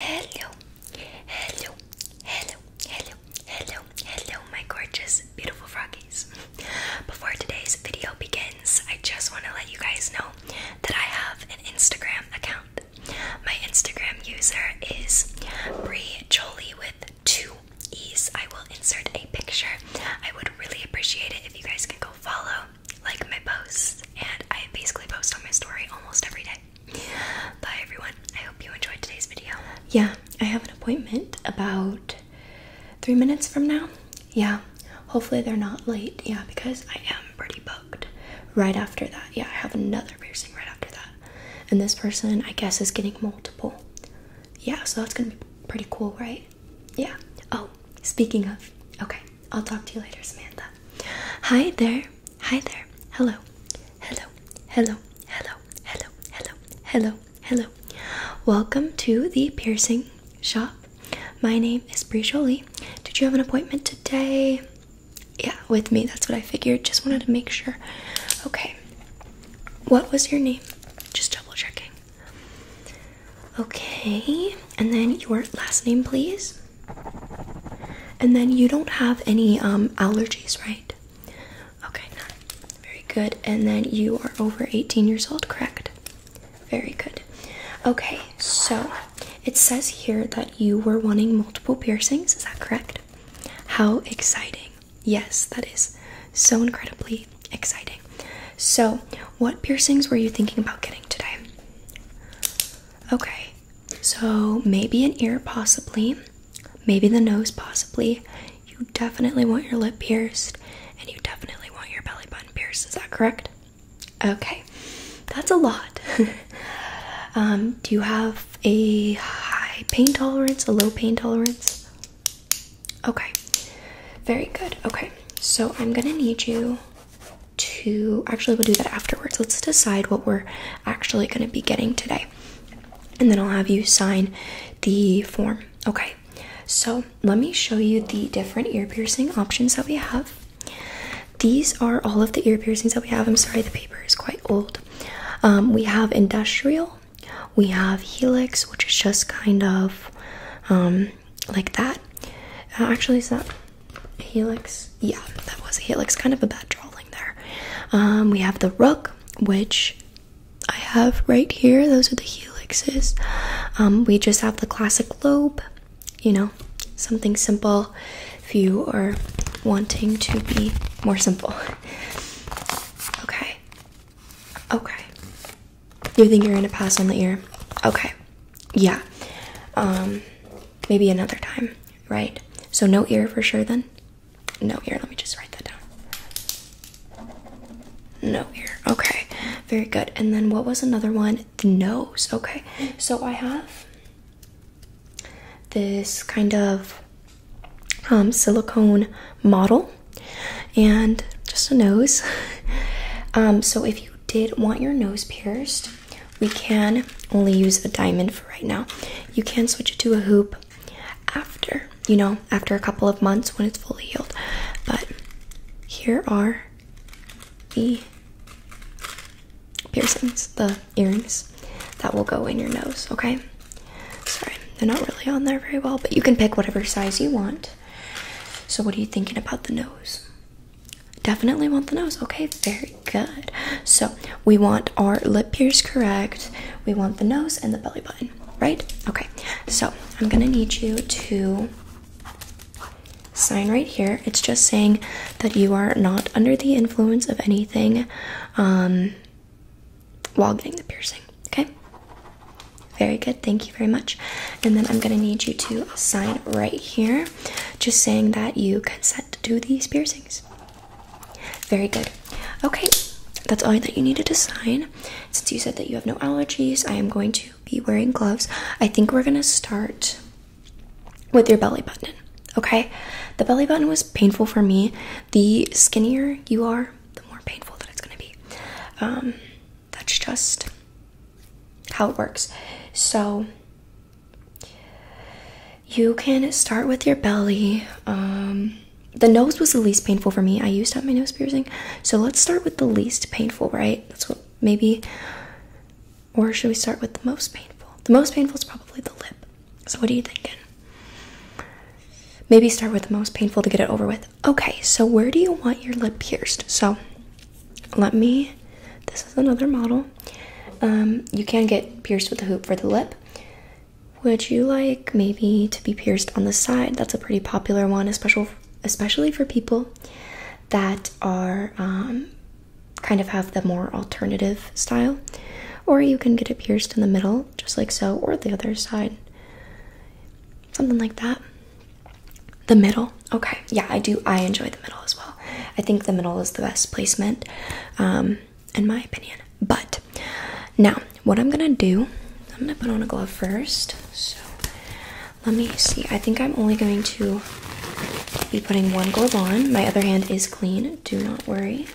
Hello, hello, hello, hello, hello, hello, my gorgeous, beautiful froggies. Before today's video begins, I just want to let you guys know that I have an Instagram account. My Instagram user is Brie Jolie with two E's. I will insert a picture. I would really appreciate it if you guys can go follow, like my posts, and I basically post on my story almost every day. Bye everyone. I hope you enjoyed today's video. Yeah, I have an appointment about three minutes from now. Yeah, hopefully they're not late. Yeah, because I am pretty booked right after that. Yeah, I have another piercing right after that. And this person, I guess, is getting multiple. Yeah, so that's gonna be pretty cool, right? Yeah. Oh, speaking of, okay, I'll talk to you later, Samantha. Hi there. Hi there. Hello. Hello. Hello. Hello. Hello. Hello. Hello. Hello. Welcome to the piercing shop. My name is Bree Jolie. Did you have an appointment today? Yeah, with me. That's what I figured. Just wanted to make sure. Okay. What was your name? Just double checking. Okay. And then your last name, please. And then you don't have any um, allergies, right? Okay, none. Very good. And then you are over 18 years old, correct? Very good. Okay, so it says here that you were wanting multiple piercings, is that correct? How exciting. Yes, that is so incredibly exciting. So, what piercings were you thinking about getting today? Okay, so maybe an ear, possibly, maybe the nose, possibly. You definitely want your lip pierced, and you definitely want your belly button pierced. Is that correct? Okay, that's a lot. Um, do you have a high pain tolerance, a low pain tolerance? Okay, very good. Okay, so I'm gonna need you to actually, we'll do that afterwards. Let's decide what we're actually going to be getting today. And then I'll have you sign the form. Okay, so let me show you the different ear piercing options that we have. These are all of the ear piercings that we have. I'm sorry, the paper is quite old. Um, we have industrial, we have helix, which is just kind of um, like that. Uh, actually, it's not helix. Yeah, that was a helix. Kind of a bad drawing there. Um, we have the rook, which I have right here. Those are the helixes. Um, we just have the classic lobe. You know, something simple if you are wanting to be more simple. Okay. Okay. You think you're gonna pass on the ear? Okay. Yeah. Um, maybe another time right? So no ear for sure then? No ear. Let me just write that down. No ear. Okay. Very good. And then what was another one? The nose. Okay. So I have this kind of um, silicone model and just a nose. Um, so if you did want your nose pierced, we can only use a diamond for right now. You can switch it to a hoop after, you know, after a couple of months when it's fully healed. But here are the piercings, the earrings that will go in your nose, okay? Sorry, they're not really on there very well, but you can pick whatever size you want. So, what are you thinking about the nose? Definitely want the nose. Okay, very Good. So we want our lip pierce correct. We want the nose and the belly button, right? Okay. So I'm gonna need you to sign right here. It's just saying that you are not under the influence of anything um, while getting the piercing. Okay. Very good. Thank you very much. And then I'm gonna need you to sign right here, just saying that you consent to these piercings. Very good. Okay, that's all that you needed to sign. Since you said that you have no allergies, I am going to be wearing gloves. I think we're going to start with your belly button. Okay, the belly button was painful for me. The skinnier you are, the more painful that it's going to be. Um, that's just how it works. So, you can start with your belly. Um, the nose was the least painful for me. I used to have my nose piercing. So let's start with the least painful, right? That's what maybe. Or should we start with the most painful? The most painful is probably the lip. So what are you thinking? Maybe start with the most painful to get it over with. Okay, so where do you want your lip pierced? So let me. This is another model. Um, you can get pierced with a hoop for the lip. Would you like maybe to be pierced on the side? That's a pretty popular one, especially especially for people that are um, kind of have the more alternative style. Or you can get it pierced in the middle, just like so, or the other side. Something like that. The middle. Okay. Yeah, I do. I enjoy the middle as well. I think the middle is the best placement. Um, in my opinion. But now, what I'm gonna do, I'm gonna put on a glove first. So let me see. I think I'm only going to be putting one glove on. My other hand is clean, do not worry.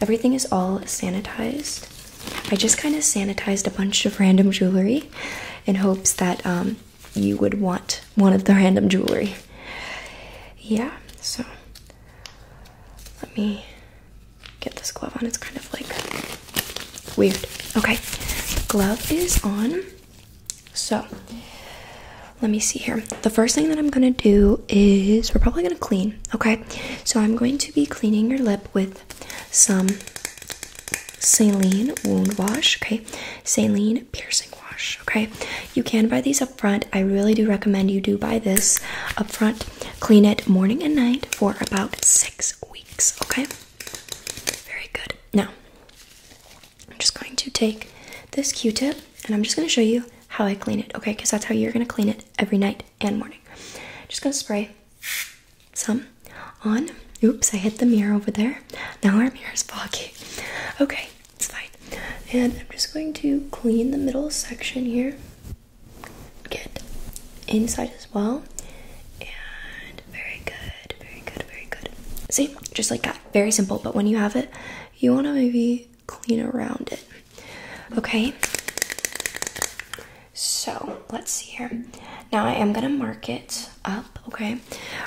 Everything is all sanitized. I just kind of sanitized a bunch of random jewelry in hopes that um, you would want one of the random jewelry. Yeah, so let me get this glove on. It's kind of like weird. Okay, glove is on. So let me see here. The first thing that I'm gonna do is we're probably gonna clean, okay? So I'm going to be cleaning your lip with some saline wound wash, okay? Saline piercing wash, okay? You can buy these up up front. I really do recommend you do buy this up front. Clean it morning and night for about six weeks, okay? Very good. Now, I'm just going to take this Q tip and I'm just going to show you how I clean it, okay? Because that's how you're going to clean it every night and morning. just going to spray some on. Oops, I hit the mirror over there. Now our mirror is foggy. Okay, it's fine. And I'm just going to clean the middle section here. Get inside as well. And very good, very good, very good. See, just like that. Very simple, but when you have it, you want to maybe clean around it. Okay. So let's see here. Now I am gonna mark it up. Okay.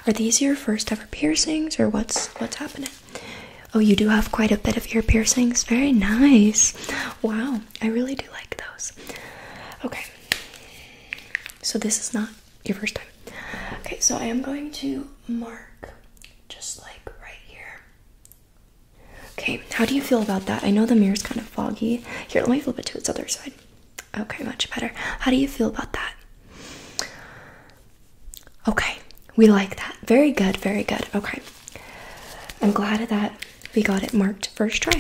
Are these your first ever piercings, or what's what's happening? Oh, you do have quite a bit of ear piercings. Very nice. Wow, I really do like those. Okay, so this is not your first time. Okay, so I am going to mark just like right here. Okay, how do you feel about that? I know the mirror is kind of foggy. Here, let me flip it to its other side. Okay, much better. How do you feel about that? Okay, we like that. Very good, very good. Okay, I'm glad that we got it marked first try.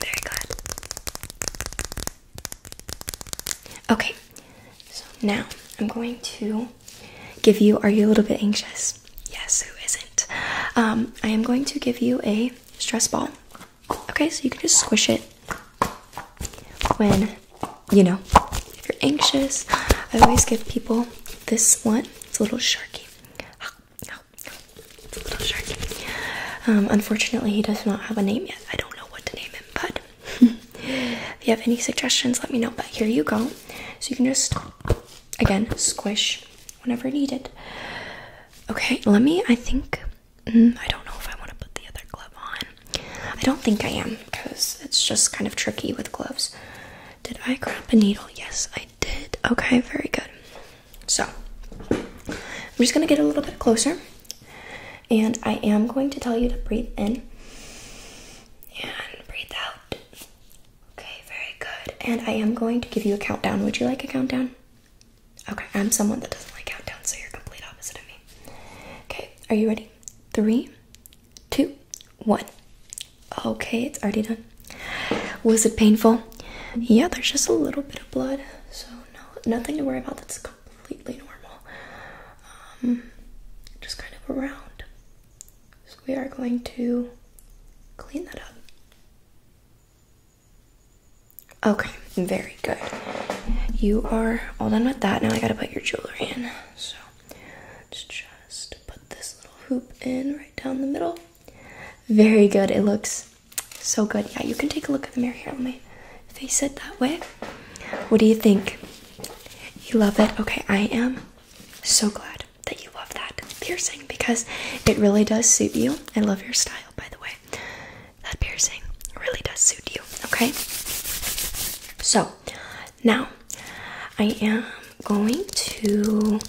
Very good. Okay, so now I'm going to give you. Are you a little bit anxious? Yes, who isn't? Um, I am going to give you a stress ball. Okay, so you can just squish it when you know, if you're anxious, I always give people this one. It's a little sharky. Um, unfortunately, he does not have a name yet. I don't know what to name him, but if you have any suggestions, let me know. But here you go. So you can just, again, squish whenever needed. Okay, let me, I think, mm, I don't know if I want to put the other glove on. I don't think I am because it's just kind of tricky with gloves. Did I grab a needle? Yes, I did. Okay, very good. So, I'm just going to get a little bit closer and I am going to tell you to breathe in and breathe out. Okay, very good. And I am going to give you a countdown. Would you like a countdown? Okay, I'm someone that doesn't like countdowns, so you're complete opposite of me. Okay, are you ready? Three, two, one. Okay, it's already done. Was it painful? Yeah, there's just a little bit of blood, so no, nothing to worry about. That's completely normal. Um, just kind of around. So we are going to clean that up. Okay, very good. You are all done with that. Now I gotta put your jewelry in. So let's just put this little hoop in right down the middle. Very good. It looks so good. Yeah, you can take a look at the mirror here. Let me face it that way. What do you think? You love it? Okay, I am so glad that you love that piercing because it really does suit you. I love your style, by the way. That piercing really does suit you, okay? So, now, I am going to.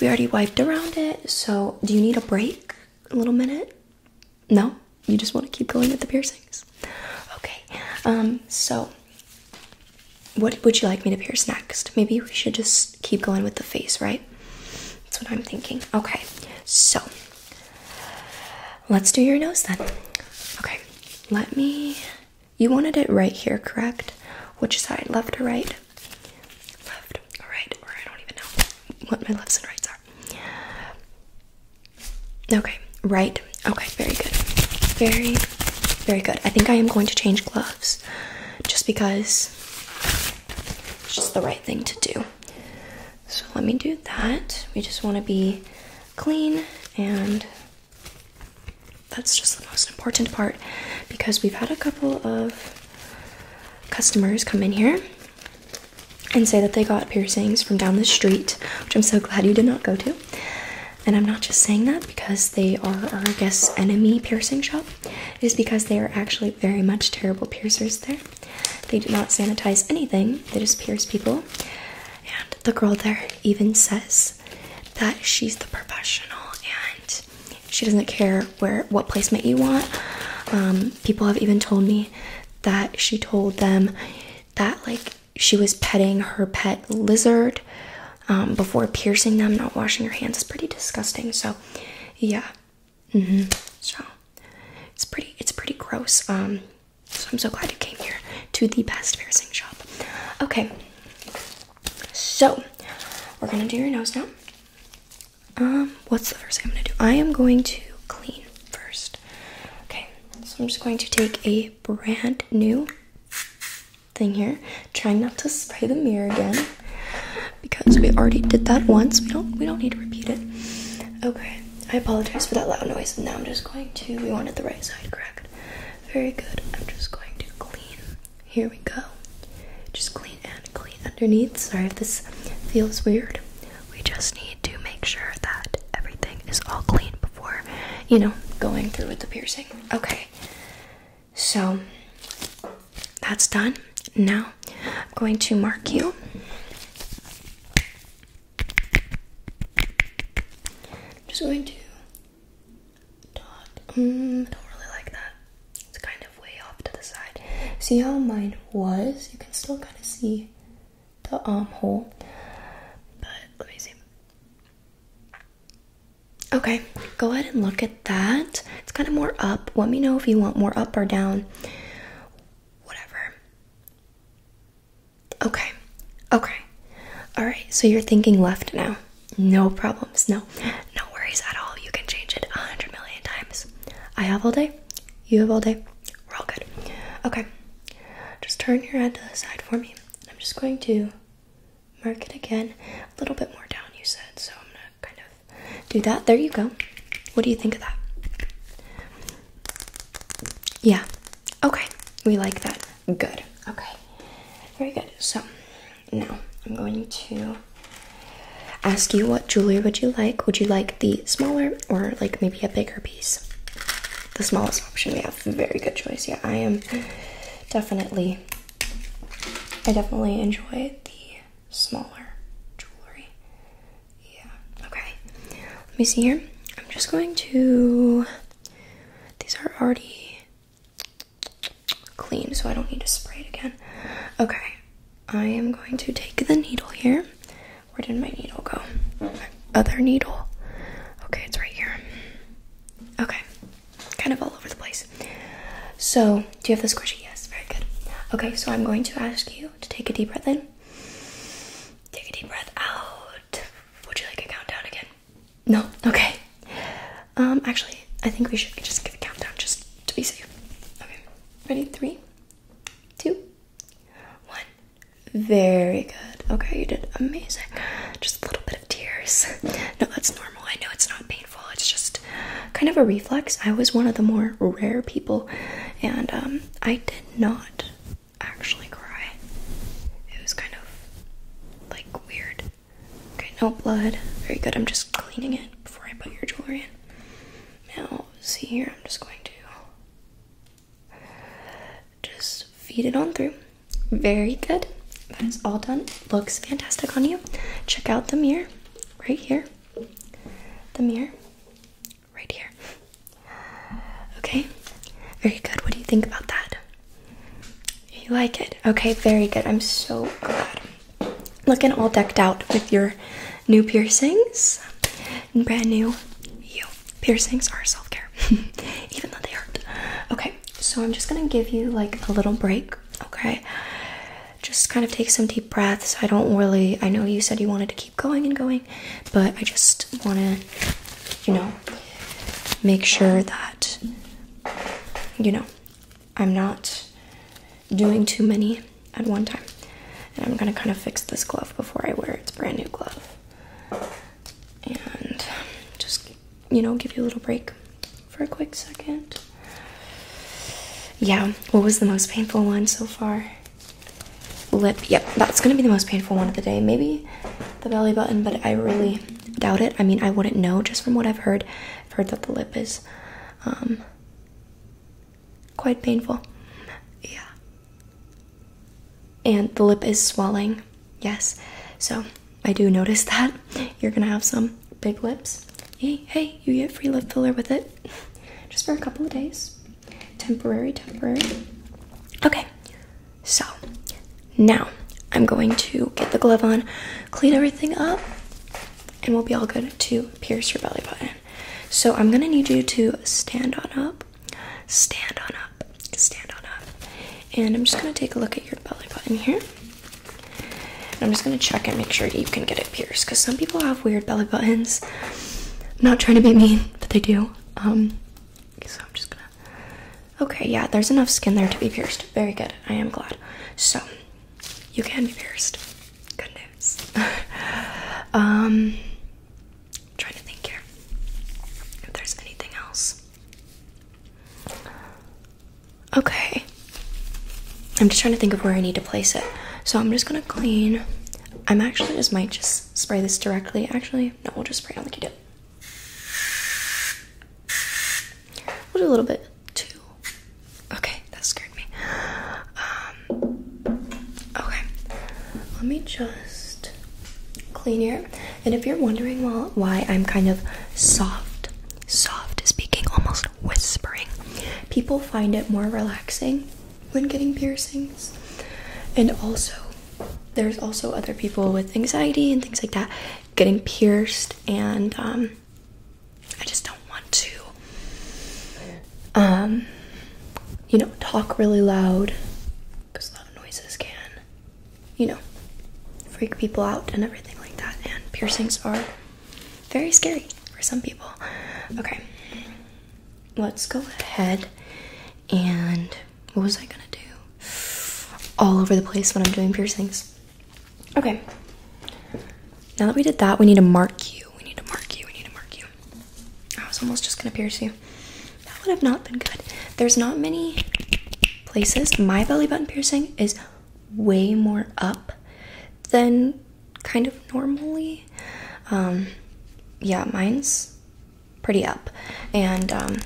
We already wiped around it, so do you need a break? A little minute? No? You just want to keep going with the piercings? Okay, um, so what would you like me to pierce next? Maybe we should just keep going with the face, right? That's what I'm thinking. Okay, so Let's do your nose then. Okay, let me. You wanted it right here, correct? Which side, left or right? Left or right, or I don't even know what my lefts and rights are. Okay, right. Okay, very good. Very, very good. I think I am going to change gloves just because it's just the right thing to do. So let me do that. We just want to be clean and that's just the most important part because we've had a couple of customers come in here and say that they got piercings from down the street, which I'm so glad you did not go to. And I'm not just saying that because they are our guest's enemy piercing shop. It is because they are actually very much terrible piercers there. They do not sanitize anything, they just pierce people. And the girl there even says that she's the professional and she doesn't care where what placement you want. Um, people have even told me that she told them that like she was petting her pet lizard um, before piercing them. Not washing your hands It's pretty disgusting. So, yeah, mm-hmm. so it's pretty it's pretty gross. Um, so I'm so glad you came here to the best piercing shop. Okay, so we're gonna do your nose now. Um, what's the first thing I'm gonna do? I am going to clean first. Okay, so I'm just going to take a brand new thing here. Trying not to spray the mirror again because we already did that once. We don't we don't need to repeat it. Okay. I apologize for that loud noise. Now I'm just going to, we wanted the right side correct. Very good. I'm just going to clean. Here we go. Just clean and clean underneath. Sorry if this feels weird. We just need to make sure that everything is all clean before, you know, going through with the piercing. Okay. So that's done. Now I'm going to mark you. I'm just going to dot. Mm, I don't really like that. It's kind of way off to the side. See how mine was? You can still kind of see the armhole. But let me see. Okay, go ahead and look at that. It's kind of more up. Let me know if you want more up or down. Whatever. Okay. Okay. All right. So you're thinking left now. No problems. No. No worries at all. You can change it a hundred million times. I have all day. You have all day. We're all good. Okay. Just turn your head to the side for me. I'm just going to mark it again. A little bit more down, you said. So I'm gonna kind of do that. There you go. What do you think of that? Yeah. Okay. We like that. Good. Okay. Very good. So now I'm going to ask you what jewelry would you like? Would you like the smaller or like maybe a bigger piece? The smallest option. we have. very good choice. Yeah, I am definitely I definitely enjoy the smaller jewelry. Yeah. Okay. Let me see here. I'm just going to. These are already clean, so I don't need to spray it again. Okay, I am going to take the needle here. Where did my needle go? My other needle. Okay, it's right here. Okay, kind of all over the place. So, do you have the squishy? Yes, very good. Okay, so I'm going to ask you to take a deep breath in. Take a deep breath out. Would you like a countdown again? No. Okay. Um. Actually, I think we should just give a countdown just to be safe. Okay. Ready? Three, two, one. Very good. Okay, you did amazing. Just a little bit of tears. No, that's normal. I know it's not painful. It's just kind of a reflex. I was one of the more rare people, and um, I did not actually cry. It was kind of like weird. Okay, no blood. Very good. I'm just cleaning it before I put your jewelry in. Now, see here, I'm just going to just feed it on through. Very good. That is all done. Looks fantastic on you. Check out the mirror right here. The mirror right here. Okay, very good. What do you think about that? You like it? Okay, very good. I'm so glad. Looking all decked out with your new piercings brand new you. Piercings are self care, even though they hurt. Okay, so I'm just gonna give you like a little break, okay? Just kind of take some deep breaths. I don't really, I know you said you wanted to keep going and going, but I just wanna, you know, make sure that you know I'm not doing too many at one time. And I'm gonna kind of fix this glove before I wear It's brand new glove. And just, you know, give you a little break for a quick second. Yeah, what was the most painful one so far? lip. Yep, that's gonna be the most painful one of the day. Maybe the belly button, but I really doubt it. I mean, I wouldn't know just from what I've heard. I've heard that the lip is um, quite painful. Yeah. And the lip is swelling. Yes. So I do notice that. You're gonna have some big lips. Hey, hey, you get free lip filler with it. Just for a couple of days. Temporary, temporary. Okay. So now I'm going to get the glove on, clean everything up, and we'll be all good to pierce your belly button. So I'm gonna need you to stand on up, stand on up, stand on up. And I'm just gonna take a look at your belly button here. I'm just gonna check and make sure you can get it pierced because some people have weird belly buttons. not trying to be mean, but they do. Um, so I'm just gonna Okay, yeah, there's enough skin there to be pierced. Very good. I am glad. So, you can be pierced. Good news. um, I'm trying to think here if there's anything else. Okay. I'm just trying to think of where I need to place it. So, I'm just gonna clean. I'm actually just might just spray this directly. Actually, no, we'll just spray on like you did. We'll do a little bit too. Okay, that scared me. Um, okay, let me just clean here. And if you're wondering why I'm kind of soft, soft speaking, almost whispering, people find it more relaxing when getting piercings. And also, there's also other people with anxiety and things like that getting pierced, and um, I just don't want to, um, you know, talk really loud because loud noises can, you know, freak people out and everything like that. And piercings are very scary for some people. Okay, let's go ahead and what was I gonna do? All over the place when I'm doing piercings. Okay. Now that we did that, we need to mark you. We need to mark you. We need to mark you. I was almost just gonna pierce you. That would have not been good. There's not many places. My belly button piercing is way more up than kind of normally. Um, yeah, mine's pretty up. And um,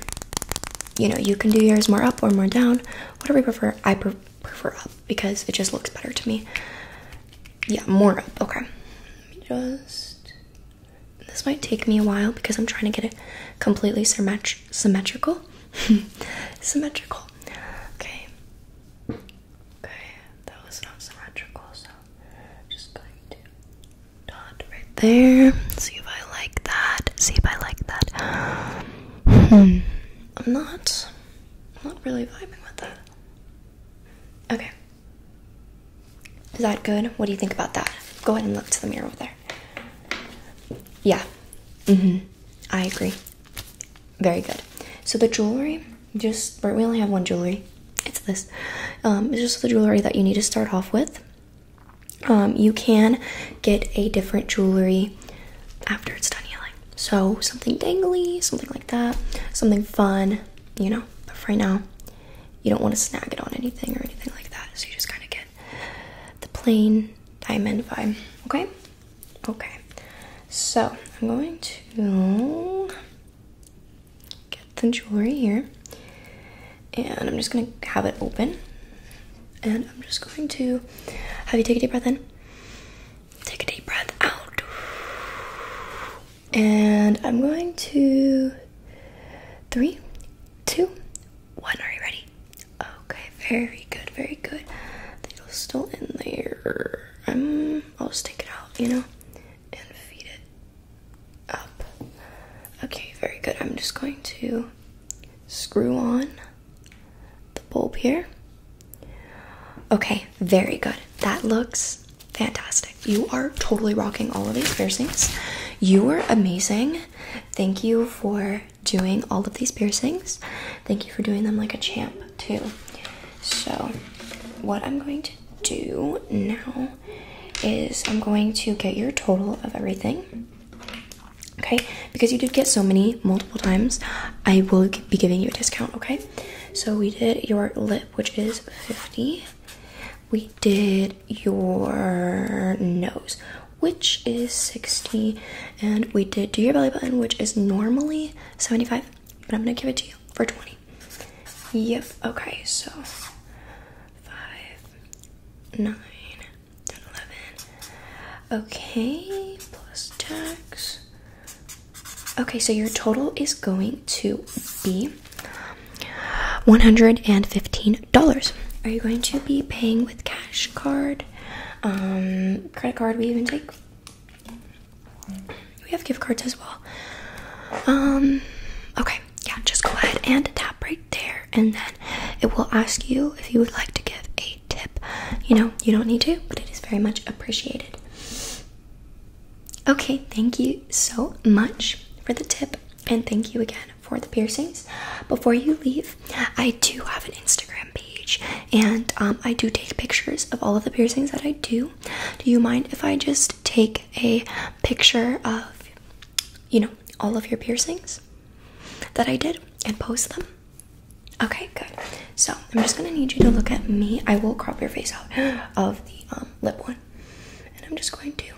you know, you can do yours more up or more down, whatever you prefer. I prefer up because it just looks better to me. Yeah, more up. Okay. Just this might take me a while because I'm trying to get it completely symmetri symmetrical. symmetrical. Okay. Okay, that was not symmetrical, so just going to dot right there. See if I like that. See if I like that. Hmm. I'm not. I'm not really vibing with that. Okay. Is that good? What do you think about that? Go ahead and look to the mirror over there. Yeah. Mm-hmm. I agree. Very good. So the jewelry, just we only have one jewelry. It's this. Um, it's just the jewelry that you need to start off with. Um, you can get a different jewelry after it's done healing. So something dangly, something like that, something fun, you know. But right now, you don't want to snag it on anything or anything like that. So you just kind of get the plain diamond vibe. Okay? Okay. So I'm going to get the jewelry here and I'm just gonna have it open and I'm just going to have you take a deep breath in take a deep breath out and I'm going to three two one are you ready okay very good very good the was still in there i um, will just take it out you know and feed it up. Okay, very good. I'm just going to screw on the bulb here. Okay, very good. That looks fantastic. You are totally rocking all of these piercings. You are amazing. Thank you for doing all of these piercings. Thank you for doing them like a champ, too. So, what I'm going to do now is I'm going to get your total of everything. Okay, because you did get so many multiple times, I will be giving you a discount. Okay, so we did your lip, which is 50. We did your nose, which is 60. And we did do your belly button, which is normally 75, but I'm gonna give it to you for 20. Yep, okay, so five, nine, ten, eleven. Okay, plus tax. Okay, so your total is going to be $115. Are you going to be paying with cash card? Um, credit card, we even take. We have gift cards as well. Um, okay yeah, just go ahead and tap right there, and then it will ask you if you would like to give a tip. You know, you don't need to, but it is very much appreciated. Okay, thank you so much for the tip, and thank you again for the piercings. Before you leave, I do have an Instagram page, and um, I do take pictures of all of the piercings that I do. Do you mind if I just take a picture of you know, all of your piercings that I did and post them. Okay, good. So I'm just gonna need you to look at me. I will crop your face out of the um, lip one, and I'm just going to.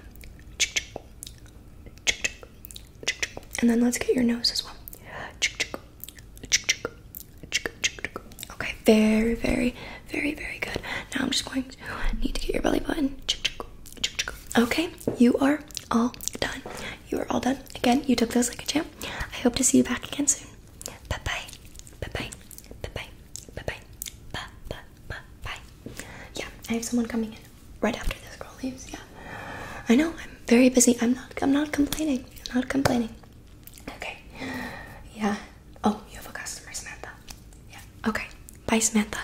And then let's get your nose as well. Okay, very, very, very, very good. Now I'm just going to need to get your belly button. Okay, you are all done. You are all done. Again, you took those like a champ. I hope to see you back again soon. Bye bye. Bye bye. Bye bye. Bye bye. Bye bye. Bye bye. Yeah, I have someone coming in right after this girl leaves. Yeah, I know. I'm very busy. I'm not. I'm not complaining. I'm not complaining. Okay. Yeah. Oh, you have a customer, Samantha. Yeah. Okay. Bye, Samantha.